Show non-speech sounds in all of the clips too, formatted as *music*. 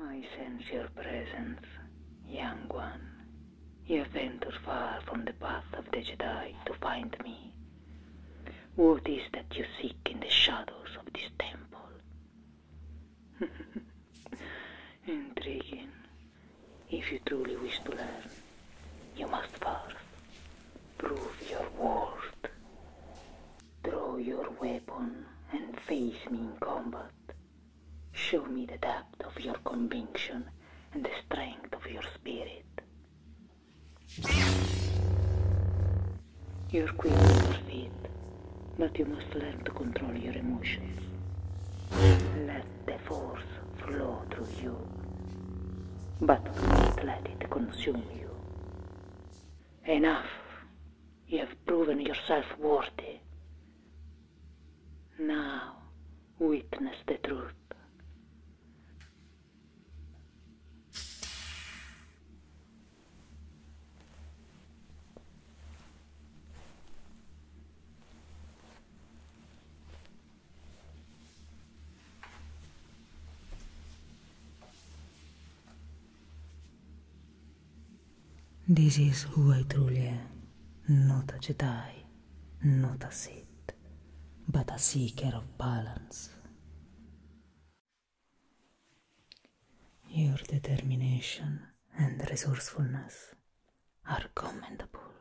I sense your presence, young one. You have ventured far from the path of the Jedi to find me. What is that you seek in the shadows of this temple? *laughs* Intriguing. If you truly wish to learn, you must first prove your worth. Draw your weapon and face me in combat. Show me the depth of your conviction and the strength of your spirit. You're queen of your feet, but you must learn to control your emotions. Let the force flow through you, but do not let it consume you. Enough! You have proven yourself worthy. Now, witness the truth. This is who I truly am, not a Jedi, not a Sith, but a seeker of balance. Your determination and resourcefulness are commendable.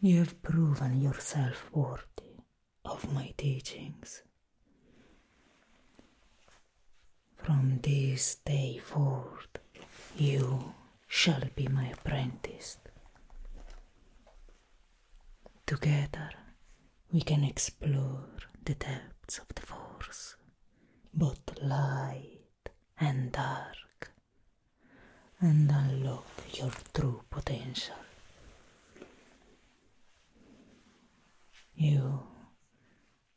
You have proven yourself worthy of my teachings. From this day forth, you shall be my apprentice. Together, we can explore the depths of the Force, both light and dark, and unlock your true potential. You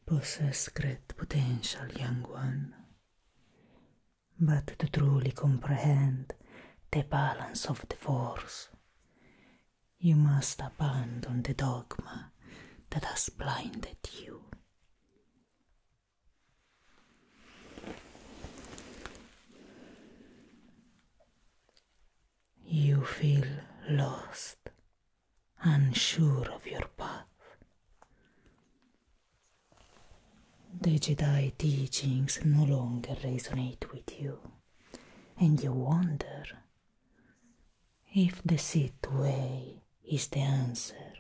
possess great potential, young one. But to truly comprehend the balance of the force, you must abandon the dogma that has blinded you. You feel lost. unsure of your path. The Jedi teachings no longer resonate with you, and you wonder if the Sith way is the answer.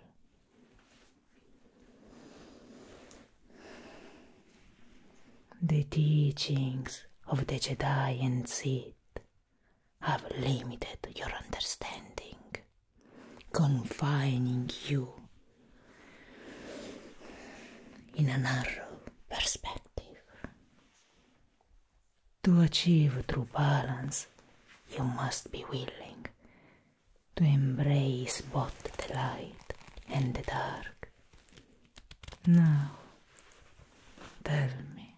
The teachings of the Jedi and Sith have limited your understanding, confining you in a narrow perspective. To achieve true balance, you must be willing to embrace both the light and the dark. Now, tell me,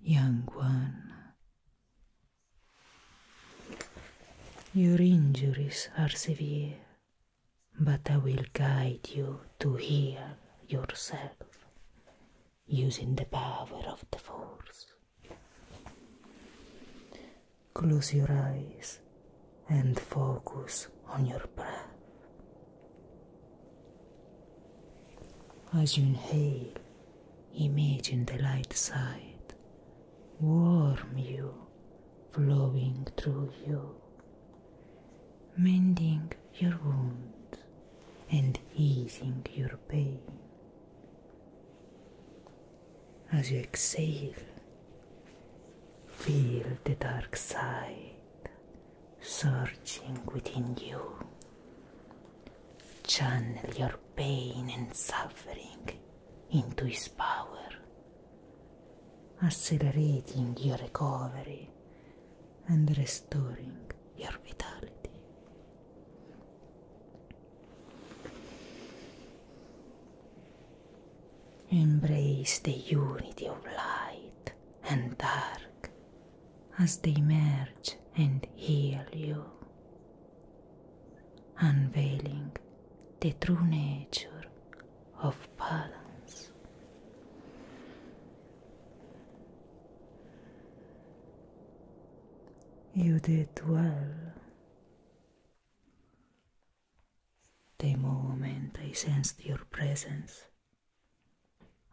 young one. Your injuries are severe, but I will guide you to heal yourself using the power of the Force. Close your eyes and focus on your breath. As you inhale, imagine the light side warm you, flowing through you, mending your wounds and easing your pain. As you exhale, feel the dark side surging within you. Channel your pain and suffering into his power, accelerating your recovery and restoring your vitality. Embrace the unity of light and dark as they emerge and heal you, unveiling the true nature of balance. You did well. The moment I sensed your presence.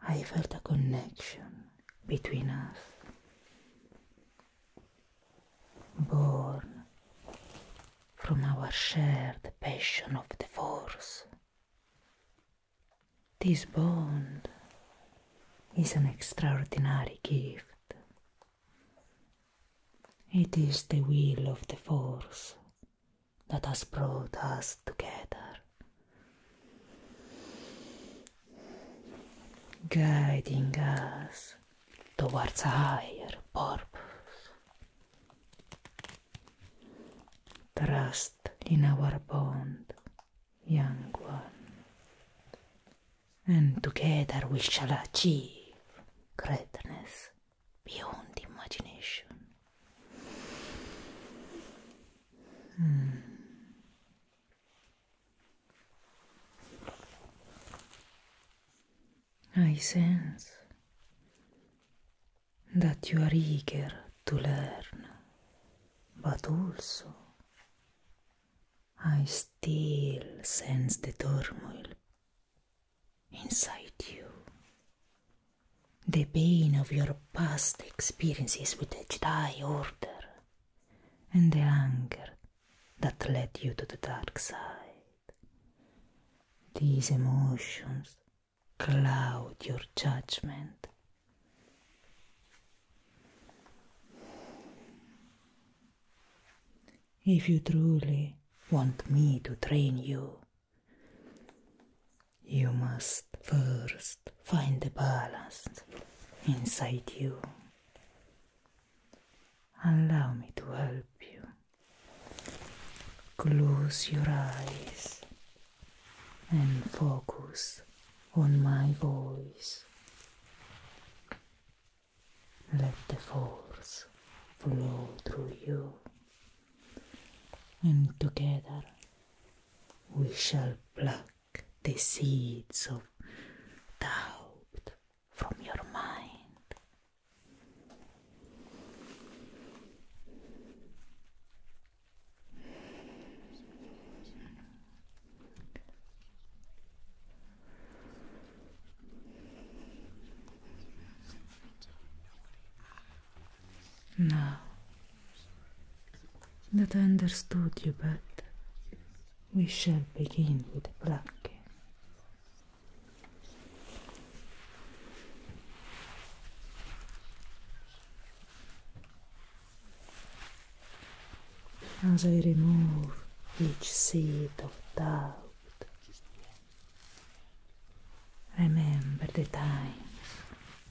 I felt a connection between us. Born from our shared passion of the Force. This bond is an extraordinary gift. It is the will of the Force that has brought us together guiding us towards a higher purpose. Trust in our bond, young one, and together we shall achieve greatness beyond imagination. Hmm. I sense that you are eager to learn, but also I still sense the turmoil inside you the pain of your past experiences with the Jedi Order and the anger that led you to the dark side. These emotions cloud your judgment. If you truly want me to train you, you must first find the balance inside you. Allow me to help you. Close your eyes and focus on my voice. Let the force flow through you and together we shall pluck the seeds of doubt from your mind. Now that understood you, but we shall begin with Brahke. As I remove each seed of doubt, remember the times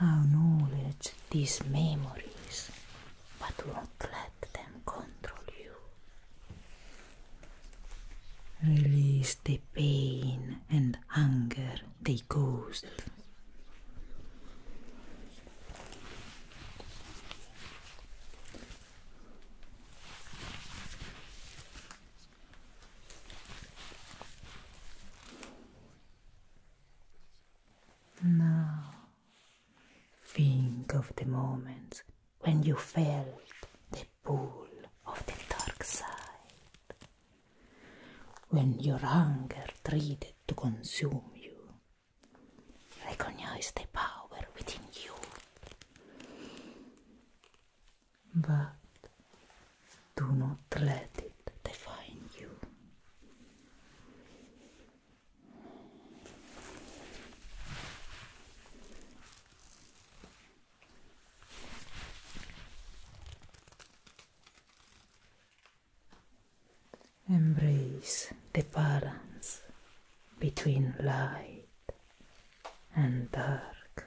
Our knowledge, these memories, but do let them control you. Release the pain and anger they caused. Now, think of the moments when you felt the pull of the dark side, when your hunger tried to consume you. Recognize the power within you. But do not let it Embrace the balance between light and dark.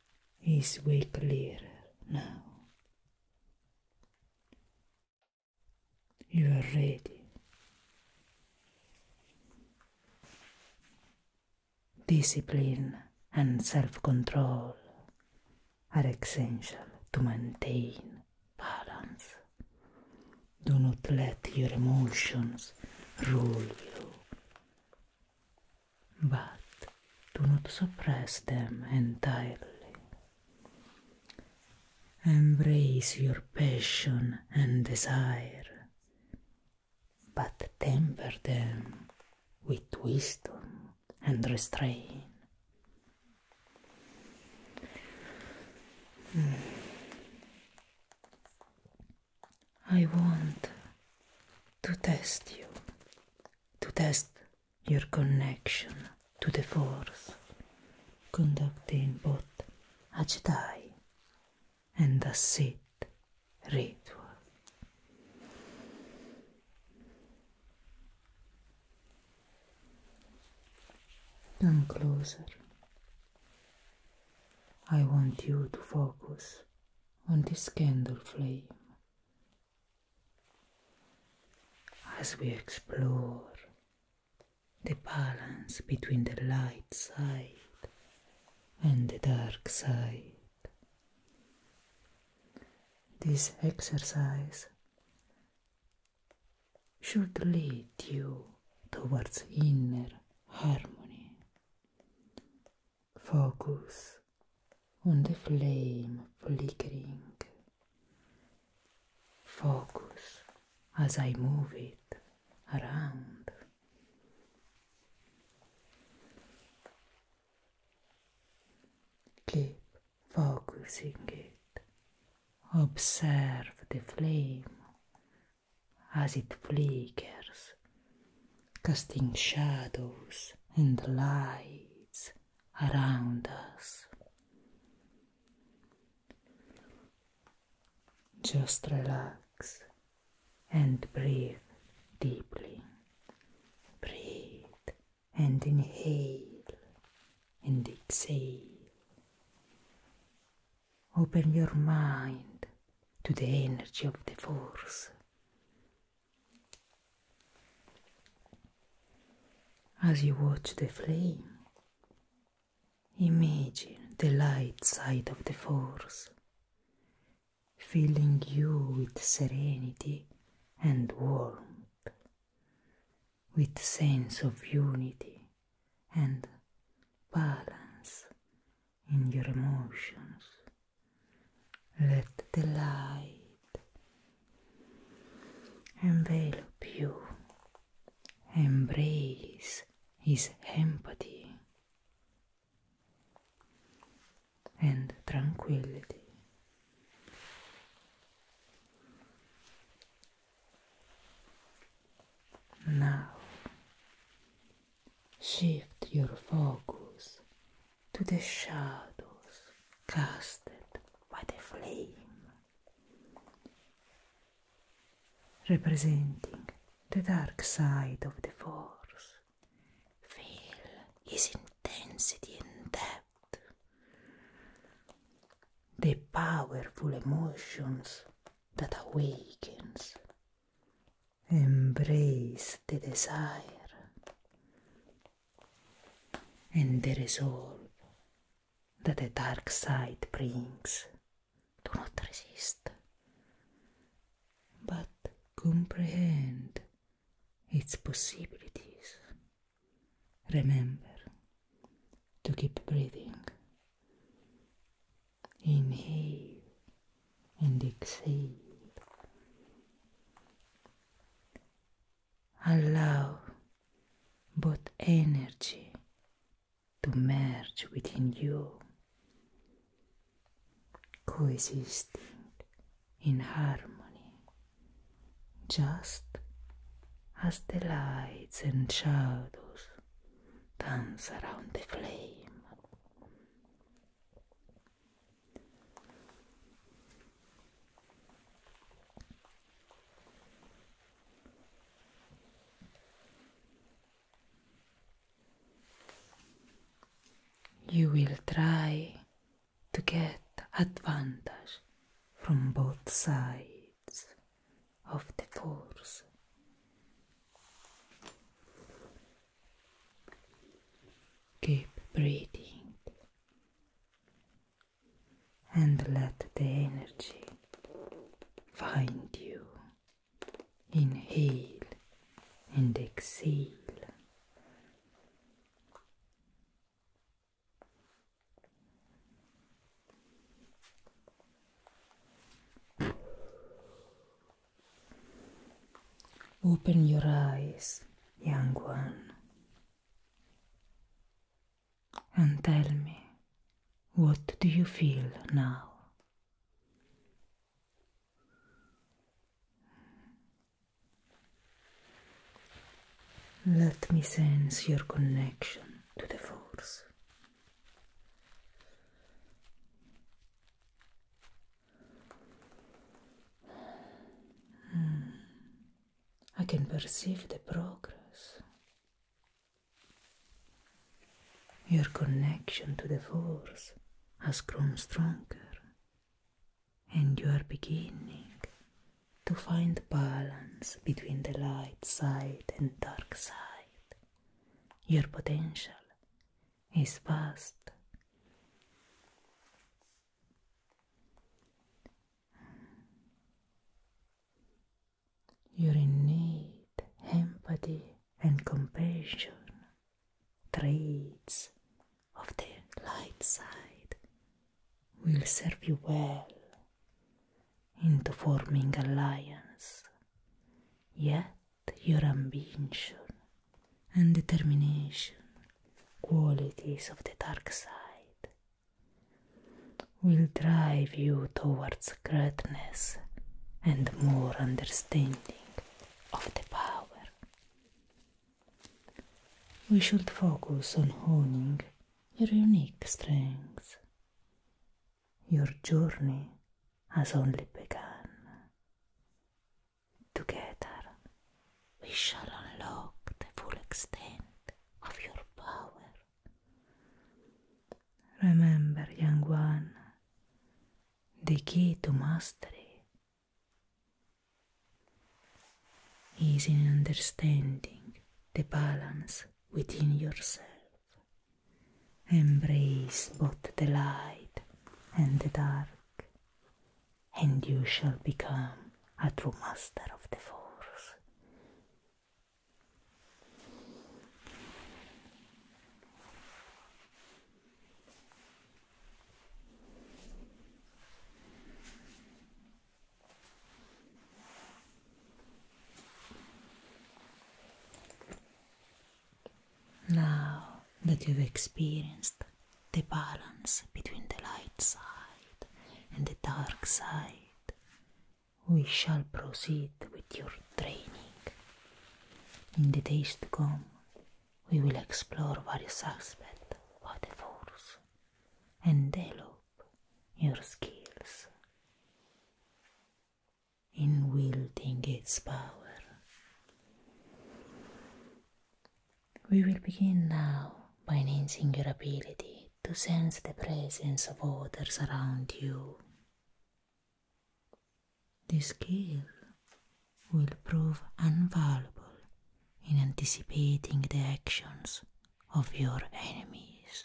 is way clearer now. You are ready. Discipline and self control are essential to maintain balance. Do not let your emotions rule you but do not suppress them entirely. Embrace your passion and desire, but temper them with wisdom and restraint. I want to test you, to test your connection to the Force, conducting both a Jedi and a Sith ritual. Come closer. I want you to focus on this candle flame as we explore the balance between the light side and the dark side. This exercise should lead you towards inner harmony focus on the flame flickering. Focus as I move it around. Keep focusing it. Observe the flame as it flickers, casting shadows and lights around us. Just relax and breathe deeply. Breathe and inhale and exhale. Open your mind to the energy of the force. As you watch the flame, imagine the light side of the force, filling you with serenity and warmth, with sense of unity and balance in your emotions. Let the light envelop you. Embrace his empathy and tranquility. Now Shift your focus to the shadows casted by the flame, representing the dark side of the force. Feel his intensity and depth, the powerful emotions that awakens embrace the desire and the resolve that the dark side brings. Do not resist, but comprehend its possibilities. Remember to keep breathing inhale and exhale. Allow both energy to merge within you, coexisting in harmony, just as the lights and shadows dance around the flame. You will try to get advantage from both sides of the force Keep breathing and let the energy find you. Inhale and exhale. Open your eyes, young one, and tell me what do you feel now? Let me sense your connection to the force. Hmm. I can perceive the progress. Your connection to the Force has grown stronger, and you are beginning to find balance between the light side and dark side. Your potential is vast. Your innate empathy and compassion traits of the light side will serve you well into forming alliance Yet your ambition and determination, qualities of the dark side, will drive you towards greatness and more understanding of the power. We should focus on honing your unique strengths. Your journey has only begun. Together, we shall unlock the full extent of your power. Remember, young one, the key to mastery is in understanding the balance within yourself. Embrace both the light and the dark, and you shall become a true master of the force. Now that you've experienced the balance between the light side and the dark side, we shall proceed with your training. In the days to come, we will explore various aspects of the force and develop your skills. in wielding its power. We will begin now by enhancing your ability to sense the presence of others around you. This skill will prove invaluable in anticipating the actions of your enemies.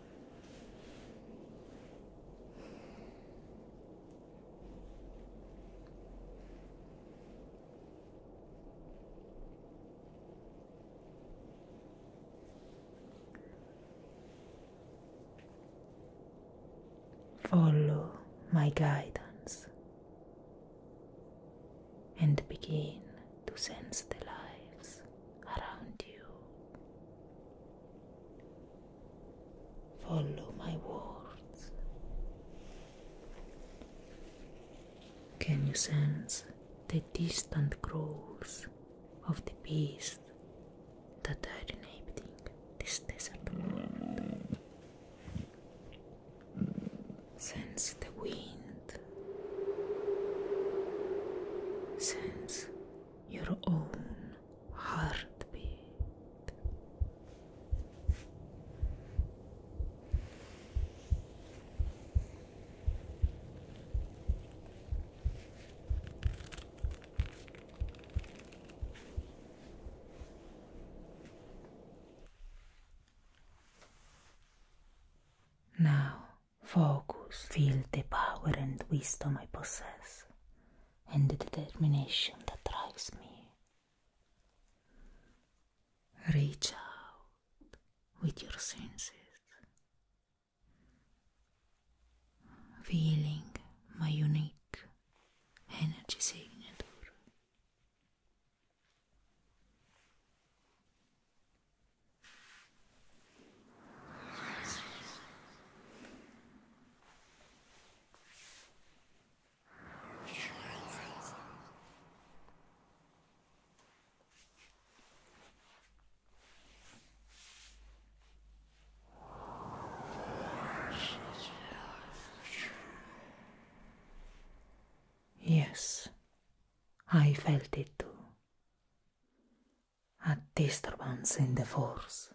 Follow my guidance and begin to sense the lives around you. Follow my words. Can you sense the distant growls of the beast that are inhabiting this desert Sense the wind. Sense your own heartbeat. Now, focus, feel the power and wisdom I possess. and the determination that drives me. Reach out with your senses, feeling my unique energy signature. Yes, I felt it too. a disturbance in the force.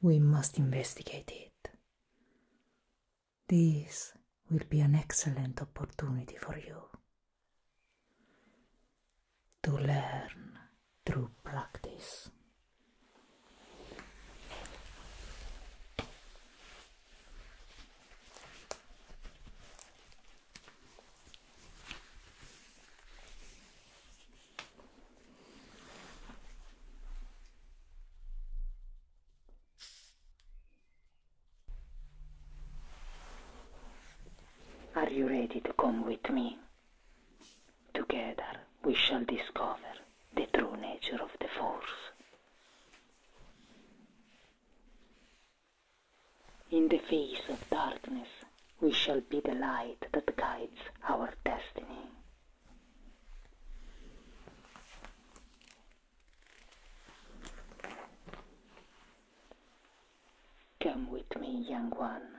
We must investigate it. This will be an excellent opportunity for you to learn through practice. Are you ready to come with me? Together we shall discover the true nature of the Force. In the face of darkness, we shall be the light that guides our destiny. Come with me, young one.